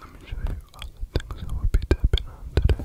Let me show you all the things I will be tapping on today.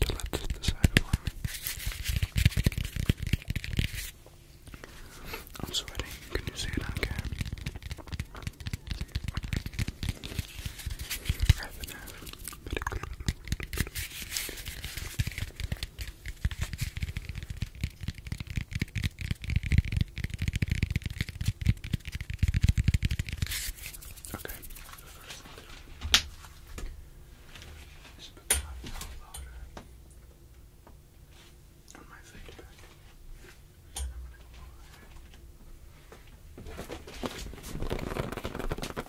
to let this decide for me. I'm sweating. Can you see it on Okay. Just put my powder on my fade back. Then I'm gonna go over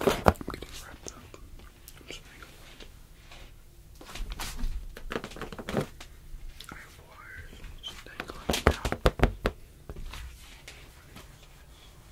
I'm getting wrapped up. I'm just going I have wires just dangling down. Right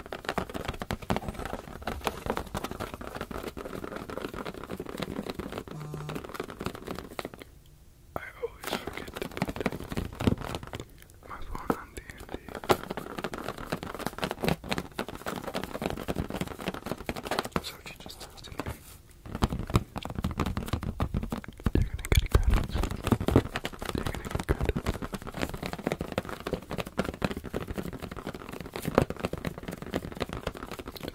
I always forget to put my phone on d and So if you just texted me, you're gonna get credits. You're gonna get credits. It's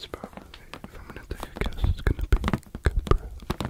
probably, if I'm gonna take a guess, it's gonna be Cobra. Cobra.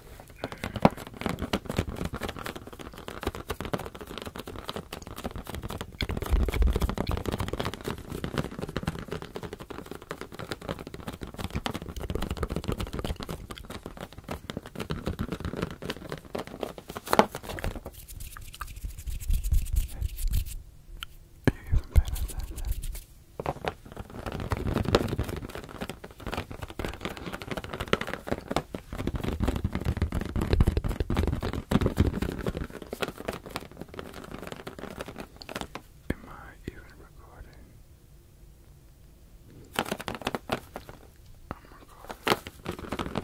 Are you even paying attention? Am I even recording? I'm oh recording.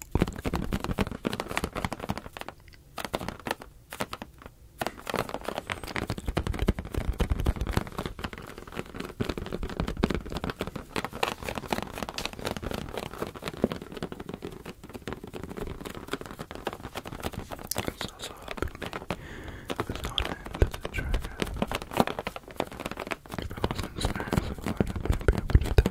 It's also helping me with not end of the trigger. If I wasn't serious about it, I wouldn't be able to do that.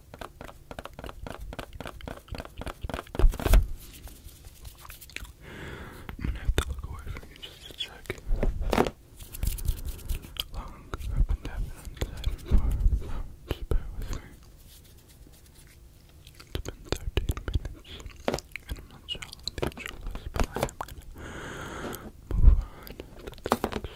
I'm gonna have to look away from you just a sec. Long, I've been tapping It's been 13 minutes, and I'm not sure the actual is, but move on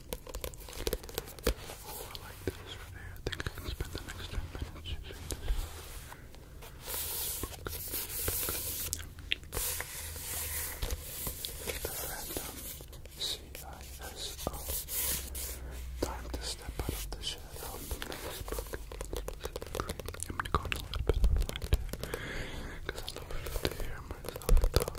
Oh, I like this I think I can spend the next 10 minutes random C-I-S-O. Time to step out of the shadow I'm going a little bit of because I love to hear myself talk.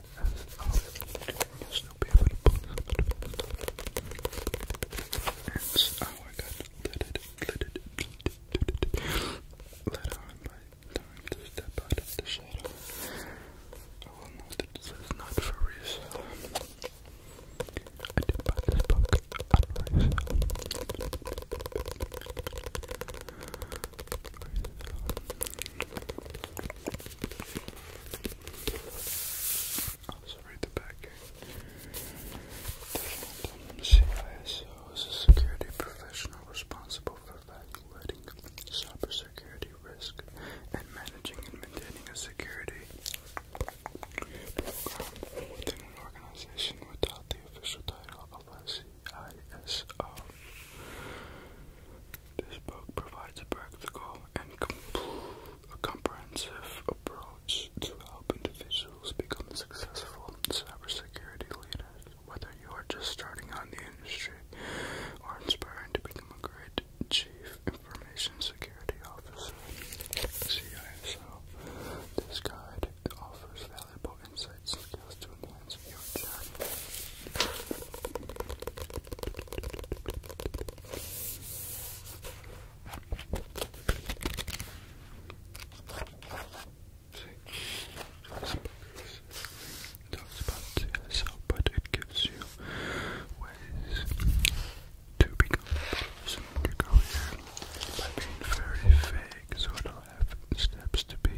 outside as our newspaper It's our glitter, glitter, Let our light time to step out of the shadow. I will note this is not for resale. I did buy also read the back here. is a security professional responsible for evaluating cybersecurity risk and managing and maintaining a security program within an organization without the official title of this book provides a practical and comprehensive approach to help individuals become successful cybersecurity leaders, whether you are just starting out in the industry or aspiring to become a great chief information security officer. CISO. This guide offers valuable insights skills to enhance your journey. it gives you ways to become a person in your by being very vague, sort of steps to be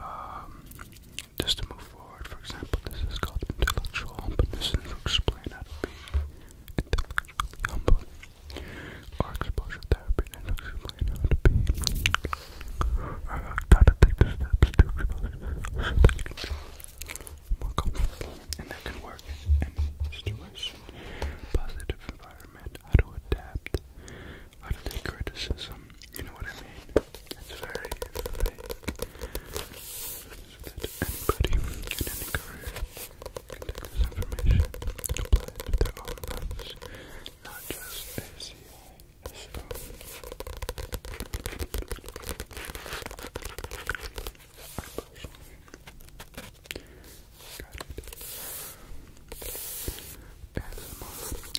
um, just to move forward. For example, this is called intellectual humbleness, and to how to be intellectually exposure therapy, and explain how to be. Uh, try to take the steps to expose so that you can be more comfortable, and that can work in any positive environment, how to adapt how to take criticism. You know what I mean? It's very fake. So anybody in any information and apply their own lives, not just ACI. So, got it. ASMR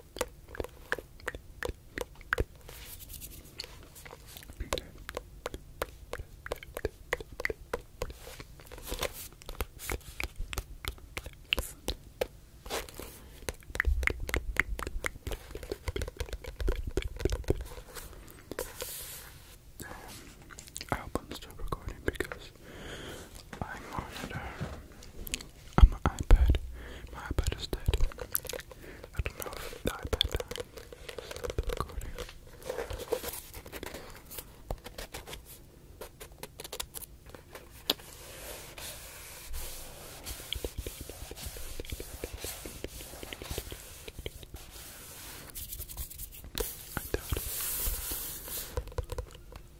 Um, album still recording because I wanted to uh, on my iPad. My iPad is dead. I don't know if the iPad died. the recording.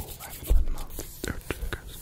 Oh, I haven't done mouth or triggers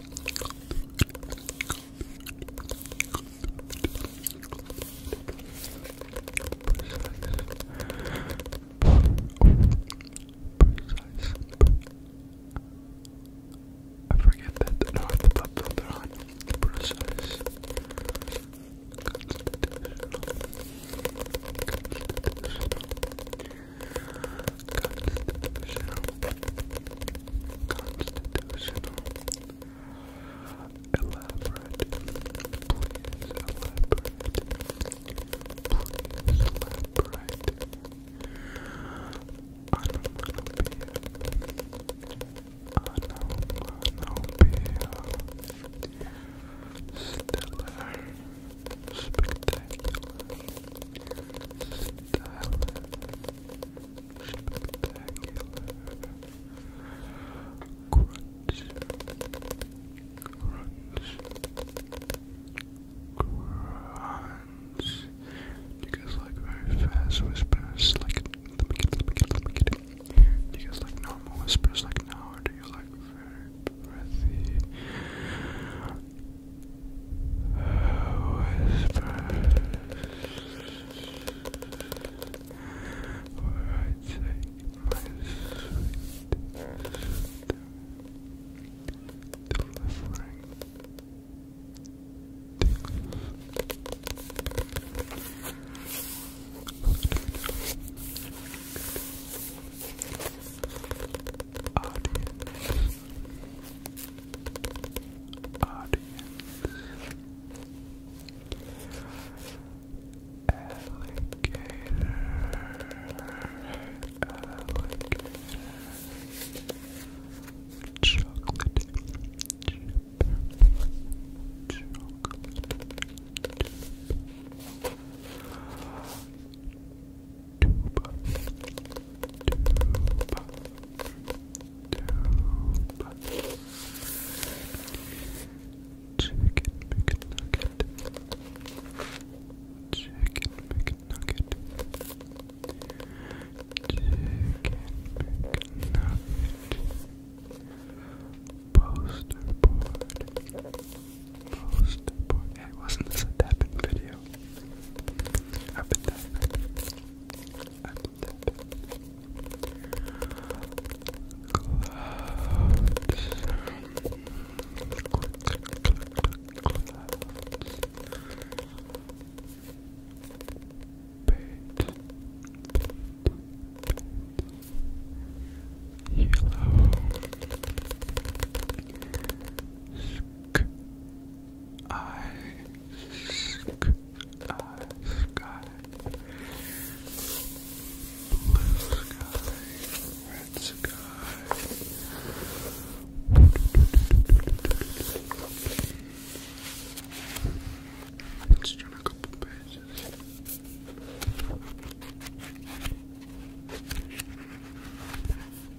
I forget that. No, I have to put filter on. Precise. Constitutional. Constitutional. Constitutional. Constitutional. Elaborate. Please elaborate. Please elaborate. Onomatopoeia crunch. Do you guys like very fast whispers? Like, let me get it, let me get it, let me get it. you guys like normal whispers like now, or do you like very breathy? Whispers where I take my sweet delivering audience, audience, alligator, alligator, chocolate chip, chocolate Tube. Tube. Tube. Chicken McNugget. Chicken McNugget. Chicken McNugget. Poster board post wasn't this a tapping video? I've been I've been tapping. Clouds. Yellow, Ice. Sky. Blue sky. Red sky. Let's turn a couple pages.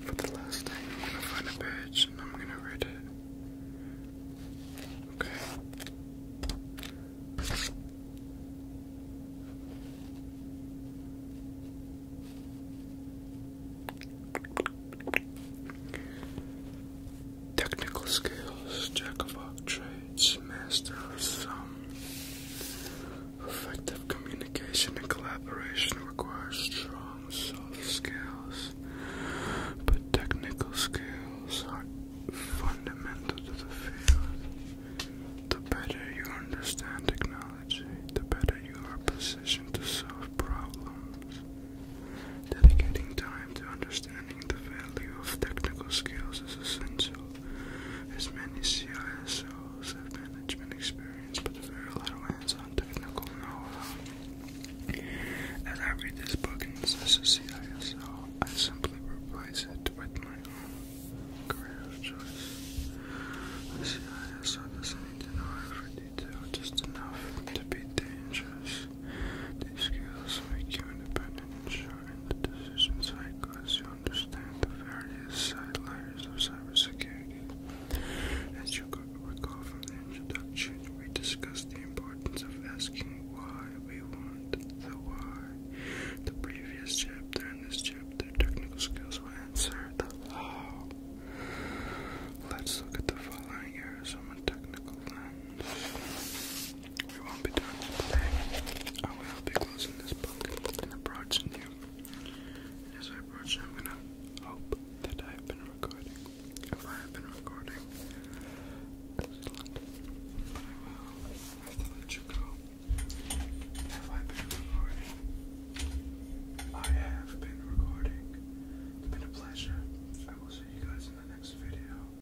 For the last thing, I'm gonna find a page and I'm gonna read it. Okay. Technical skills, jack of all trades, master of some. Effective communication and collaboration requires strong soft skills, but technical skills are fundamental to the field. The better you understand technology, the better you are positioned to solve problems. Dedicating time to understanding highlighting the value of technical skills is essential, as many CISOs have management experience but very little hands-on technical know-how. As I read this book and assess CISO, I simply replace it with my own career choice. CISO doesn't need to know every detail, just enough to be dangerous. These skills make you independent, ensuring the decision cycle as you understand the various side layers of cybersecurity. As you recall from the introduction, we discussed the importance of asking why we want the why. The previous chapter and this chapter, technical skills will answer the how. Let's look at the following areas from a technical lens. We won't be done today. I will be closing this book and approaching you. as I approach I'm gonna hope that I have been recording. If I have been recording, But I will have to let you go. Have I been recording? I have been recording. It's been a pleasure. I will see you guys in the next video.